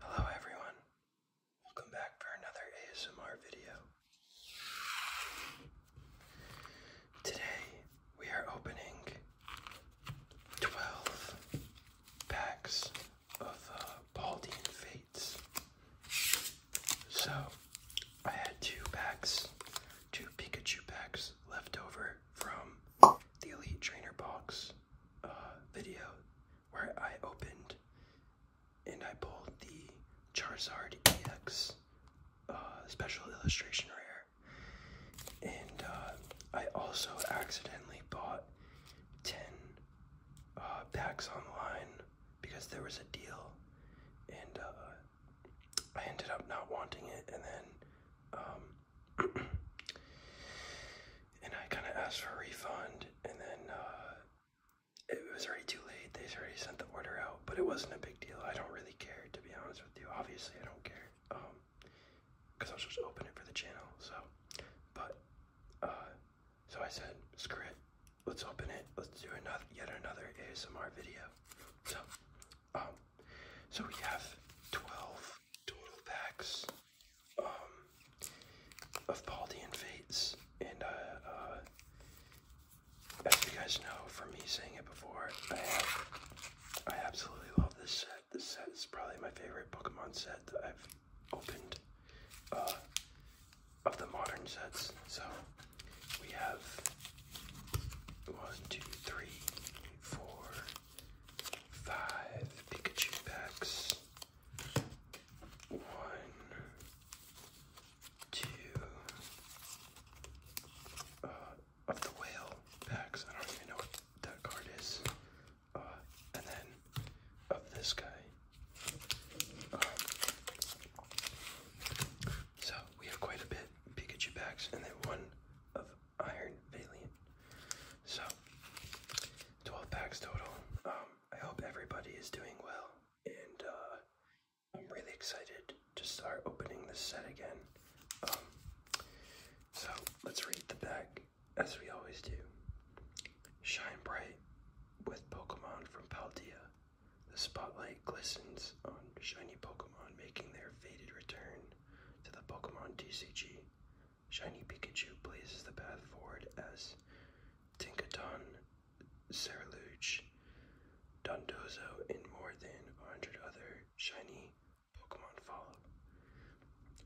Hello everyone. Welcome back for another ASMR video. Today we are opening 12 packs of uh, Fates. So I had two packs, two Pikachu packs left over from the Elite Trainer box. Uh, video where I opened and I pulled the Charizard EX uh, Special Illustration Rare. And uh, I also accidentally bought 10 packs online because there was a deal and I ended up not wanting it and then um, and I kind of asked for a refund, and then uh, it was already too late. They already sent the order out, but it wasn't a big deal. I don't really care, to be honest with you. Obviously, I don't care, um, because I'll just open it for the channel. So, but uh, so I said, screw it. Let's open it. Let's do another, yet another ASMR video. So, um, so we have twelve total packs um, of Paldean Fates. And uh, uh, as you guys know from me saying it before, I, have, I absolutely love this set. This set is probably my favorite Pokemon set that I've opened uh, of the modern sets. So we have one, two, three, four, five Pikachu packs. One, two uh, of the whale packs. I don't even know what that card is. Uh, and then of this guy. Um, so we have quite a bit Pikachu packs, and then one of Iron Valiant. So, 12 packs total. Um, I hope everybody is doing well, and uh, I'm really excited to start opening this set again. Um, so, let's read the back as we always do. Shine bright with Pokemon from Paldea. The spotlight glistens on shiny Pokemon making their faded return to the Pokemon TCG. Shiny Pikachu blazes the path forward as Tinkaton, Saraluch, Dondozo, and more than a 100 other shiny Pokemon follow.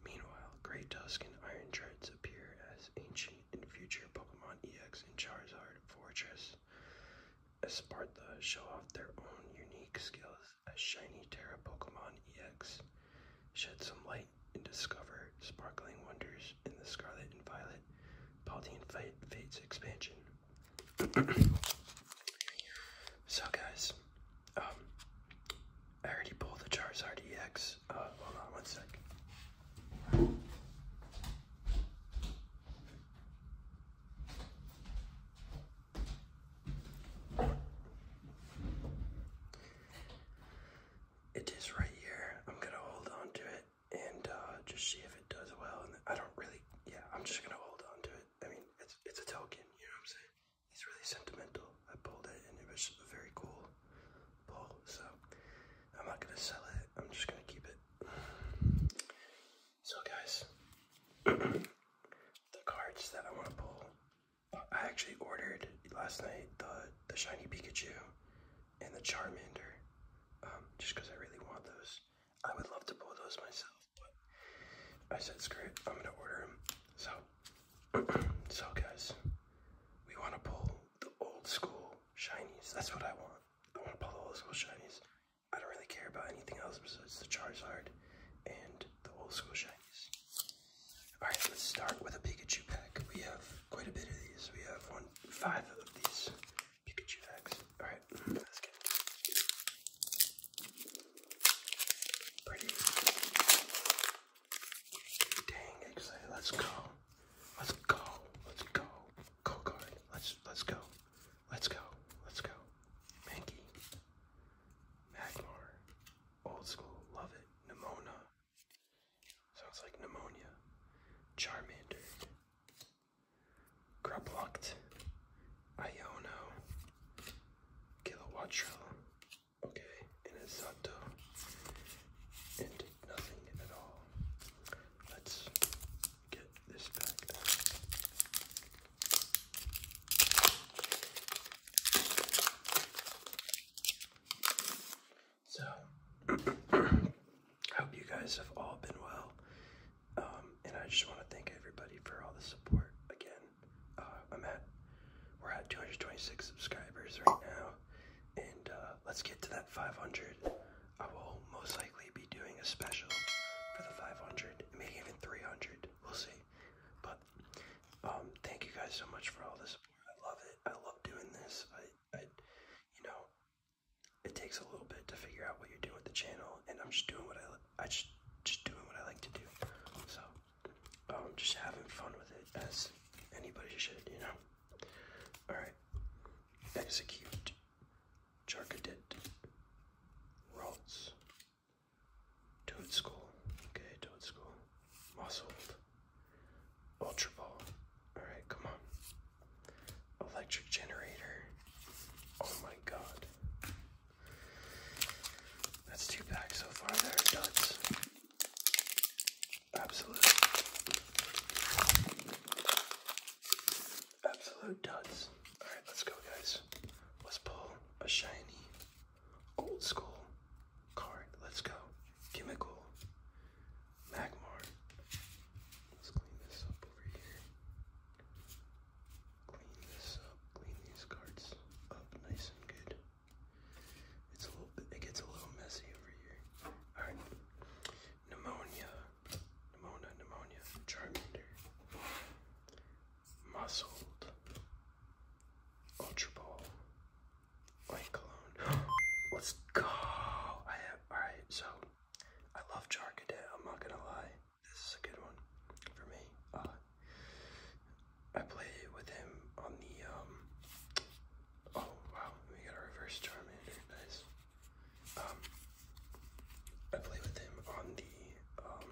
Meanwhile, Grey Tusk and Iron Treads appear as ancient and future Pokemon EX and Charizard Fortress. Esparta show off their own unique skills a shiny Terra Pokemon EX, shed some light and discover sparkling wonders in the Scarlet and Violet Paldean Fate Fates expansion. so guys, um, I already pulled the Charizard EX. Uh, hold on one sec. It is right here. I'm gonna hold on to it and uh, just see if it does well. And I don't really, yeah, I'm just gonna hold on to it. I mean, it's it's a token, you know what I'm saying? He's really sentimental. I pulled it and it was a very cool pull, so I'm not gonna sell it. I'm just gonna keep it. So guys, the cards that I want to pull. I actually ordered last night the the shiny Pikachu and the Charmander, um, just because I really want those. I would love to pull those myself, but I said screw it, I'm gonna order them. So, so guys, we want to pull the old school shinies. That's what I want. I want to pull the old school shinies. I don't really care about anything else besides the Charizard and the old school shinies. Alright, let's start with a Pikachu pack. We have quite a bit of these. We have one, five of these Pikachu packs. Alright, let's get Pretty. Dang, excited. Let's go. Let's go. Let's go. Go card. Let's let's go. Let's go. Let's go. Mankey. Magmar. Old school. Love it. Nimona. Sounds like pneumonia. Charmander. Grublocked. Iono. Kilowattrill. Okay. And Azoto. And nothing at all. Let's get this back. So, hope you guys have all been well. Um, and I just want to thank everybody for all the support. Again, uh, I'm at, we're at 226 subscribers right now. And uh, let's get to that 500. I will most likely be doing a special for the 500, maybe even 300. We'll see. But um, thank you guys so much for all the support. I love it. I love doing this. I, I, you know, it takes a little bit to figure out what you're doing with the channel, and I'm just doing what I, I just, just doing what I like to do. So, um, just having fun with it as anybody should, you know. All right, execute. Charcadit. Rolls. Toad Skull. Okay, Toad Skull. Muscled. Ultra Ball. Alright, come on. Electric Generator. Oh my god. That's two packs so far. There are duds. Absolute. Absolute duds. Alright, let's go, guys. Let's pull a shiny, old school card. Let's go. Chemical. Magmar. Let's clean this up over here. Clean this up. Clean these cards up nice and good. It's a little bit, it gets a little messy over here. Alright. Pneumonia. Pneumonia, pneumonia, Charmander, Muscled, Ultra Ball, White Cologne. Let's go! I have, alright, so I love Charcadet, I'm not gonna lie. This is a good one for me. Uh, I play with him on the, um, oh wow, we got a reverse Charmander, nice. Um, I play with him on the um,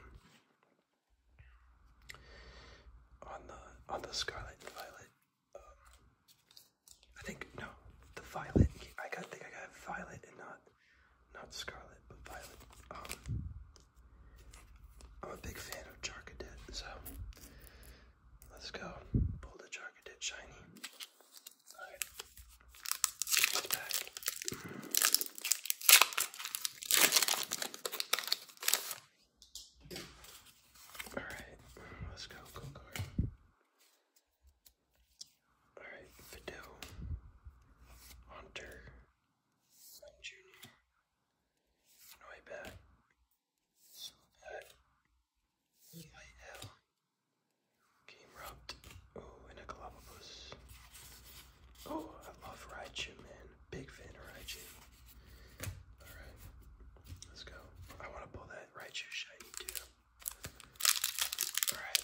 on the on the Scarlet and Violet. Um, I think no, the Violet. I got think I got Violet and not not Scarlet, but Violet. Um, I'm a big fan of Charcadet, so let's go pull the Charcadet shiny. All right, let's go, go, All right, Hunter, Junior, Noibat, Silbat, Game rubbed. Oh, and a Galapagos. Oh, I love Raichu, man. Big fan of Raichu. Alright. Let's go. I want to pull that Raichu shiny too. Alright.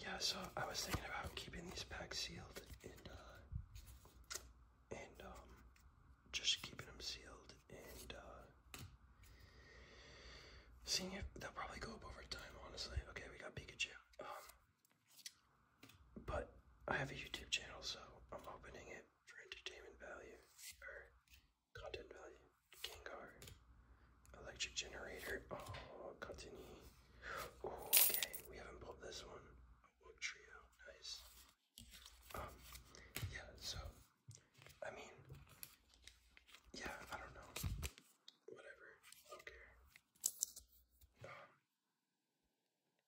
Yeah, so I was thinking about keeping these packs sealed and uh, um, just keeping them sealed and uh, seeing if they'll probably go up over time. Honestly, okay, we got Pikachu, um, but I have a YouTube channel, so I'm opening it for entertainment value or Content value. Gengar. Electric generator. Oh, continue. Oh, okay. We haven't pulled this one. Oh, Nice. Um, yeah, so, I mean, yeah, I don't know. Whatever. I Um,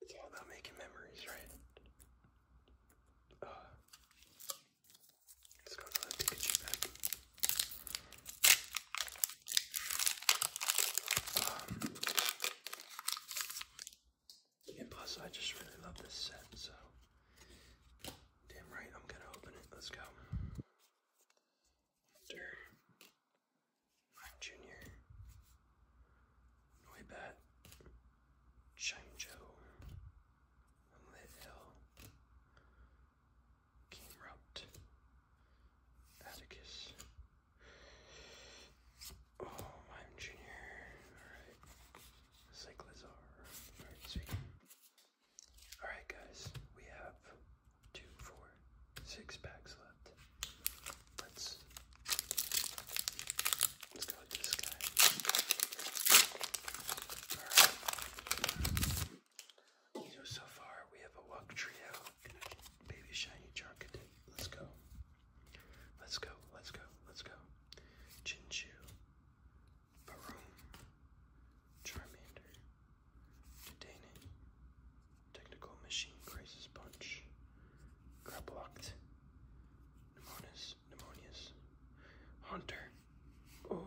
it's all about making memories, right? Uh, um, and plus, I just really love this set, so damn right, I'm gonna open it. Let's go. After Jr., Noibat, Shine and let L Atticus. Oh, I'm junior. Alright. It's Alright guys, we have two, four, six packs left. Let's Let's go with this guy. So, far we have a Wuk Trio Baby Shiny Charcadet. Let's go. Let's go, let's go, let's go. Chinchu, Baroom, Charmander, Dedenne, Technical Machine Crisis Punch, Grablocked, Nemonis, pneumonias, Hunter. Oh.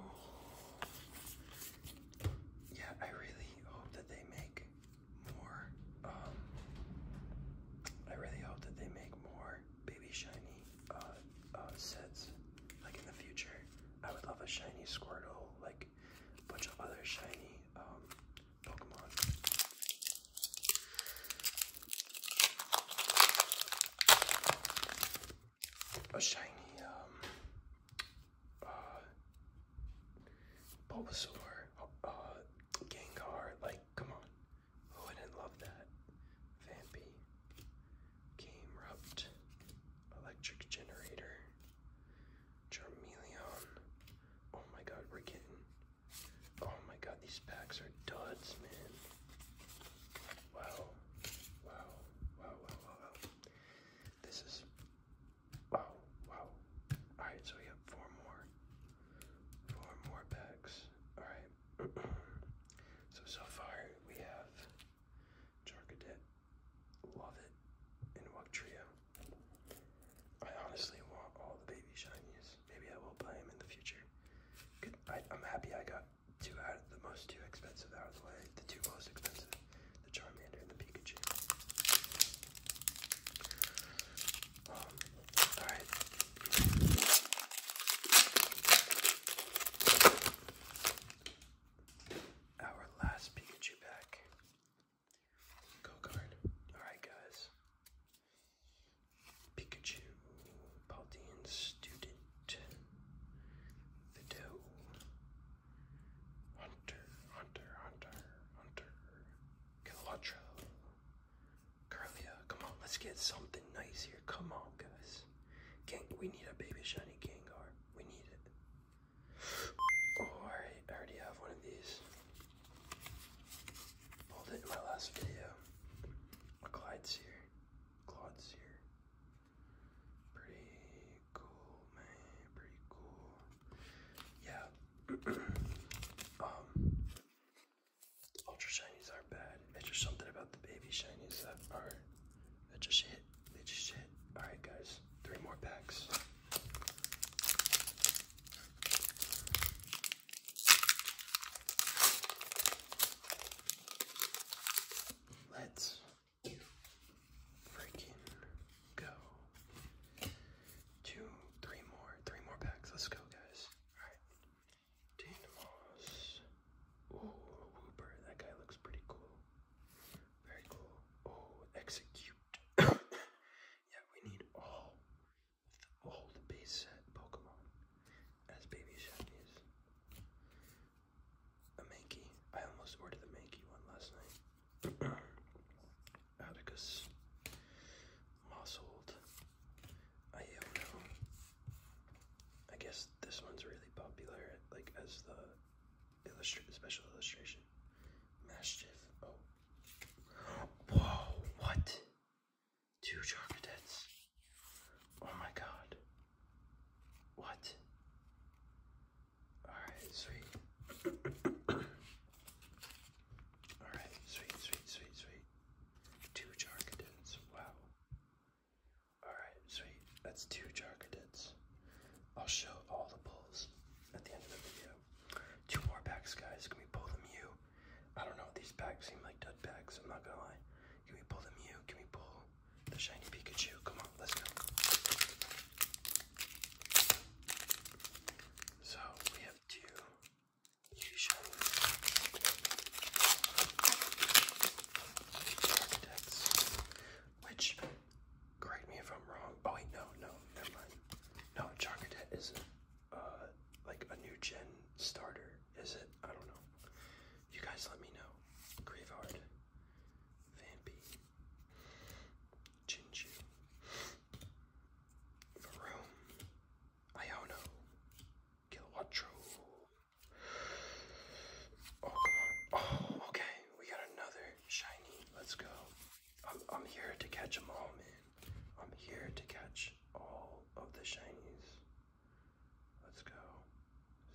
Yeah, I really hope that they make more. Um, I really hope that they make more baby shiny uh, uh, sets, like in the future. I would love a shiny Squirtle, like a bunch of other shiny um, Pokemon a shiny um, uh, Bulbasaur, uh, Gengar. Like, come on, who wouldn't love that? Vampy, Game Rupt, Electric Generator, Charmeleon. Oh my God, we're getting Oh my god, these packs are duds, man. Wow. Wow. Wow, wow, wow, This is wow, wow. Alright, so we have four more. Four more packs. Alright. so so far we have Jorkadet, Love It, and Wug Trio. I honestly want all the baby shinies. Maybe I will play him in the future. I, am happy I got two out of the most two expensive out of the way. The two most expensive, the Charmander and the Pikachu. Um, all right. Our last Pikachu pack. Go card. All right, guys. Pikachu, Paldean Student, Video, Hunter, Hunter, Hunter, Hunter, Kilatra, Carlia. Come on, let's get something nice here. Come on, guys. Gang, we need a baby shiny Gengar. We need it. Oh, alright, I already have one of these. Pulled it in my last video. Clyde's here. Claude's here. Pretty cool, man. Pretty cool. Yeah. um, ultra shinies aren't bad. It's just something about the baby shinies that are that just hit. They just hit. All right, guys. Three more packs. Let's freaking go. Two, three more, three more packs. Let's go, guys. Alright. Dynamos. Oh, Wooper. That guy looks pretty cool. Very cool. Oh, execute. yeah, we need all old base set Pokemon as baby shinies. A Mankey. I almost ordered the Mankey one last night. Atticus. Mossold. Iono. I guess this one's really popular, like as the illustra special illustration. Mastiff. Oh. Whoa, what? Two Chargadets. Oh my god. What? Alright, sweet. Alright, sweet, sweet, sweet, sweet. Two Chargadets. Wow. Alright, sweet. That's two Chargadets. I'll show all the pulls at the end of the video. Two more packs, guys. Can we pull them you? I don't know, these bags seem like dud bags. I'm not gonna lie. Can we pull the Mew? Can we pull the shiny Pikachu? Come on, let's go. So we have two two shinies. Which correct me if I'm wrong. Oh wait, no, no, never mind. No, Charcadet is uh, like a new gen starter? Is it? I don't know. You guys let me know. Grievard, Vampy, Jinju, Varome, Iono, Kilowatro. Oh, oh, okay. We got another shiny. Let's go. I'm, I'm here to catch them all, man. I'm here to catch all of the shinies. Let's go.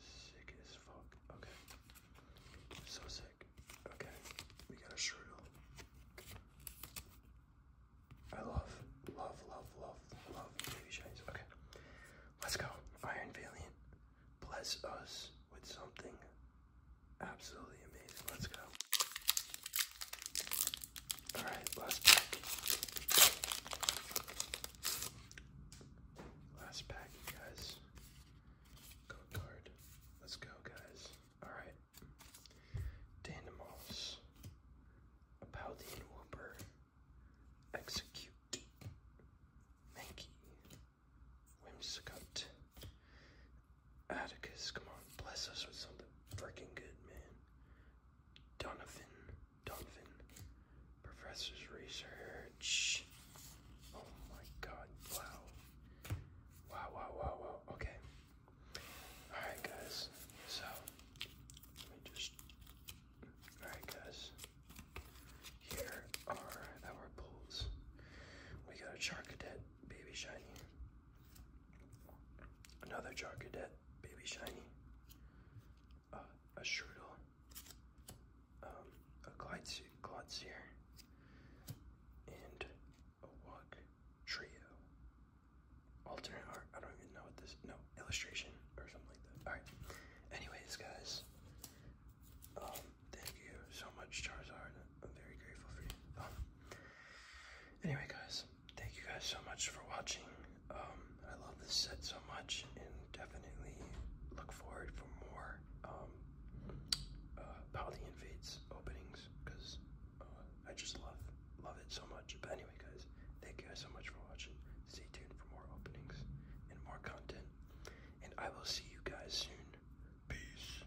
Sick as fuck. Okay. So sick. Okay. We got a shrill. I love, love, love, love, love baby shinies. Okay. Let's go. Iron Valiant. Bless us with something absolutely amazing. Let's go. All right, last pack. guys. Go card. Let's go, guys. All right. Dynamos. A Whooper. Execute. Mankey. Whimsicott. Atticus, come on, bless us with something freaking good, man. Donovan, Donovan, Professor's Research. Oh my god, wow. Wow, wow, wow, wow. Okay. Alright, guys. So, let me just. Alright, guys. Here are our pulls. We got a Char baby shiny. Another Char Cadet, baby shiny. Uh, a Shrudel. Um, a a Glotzier. And a Wug Trio. Alternate art, I don't even know what this, no, illustration or something like that. Alright, anyways guys, um, thank you so much Charizard. I'm very grateful for you. Um, anyway, guys, thank you guys so much for watching. Um, I love this set so much, and definitely look forward for more um, uh, Paldi Invades openings because uh, I just love love it so much. But anyway, guys, thank you guys so much for watching. Stay tuned for more openings and more content, and I will see you guys soon. Peace.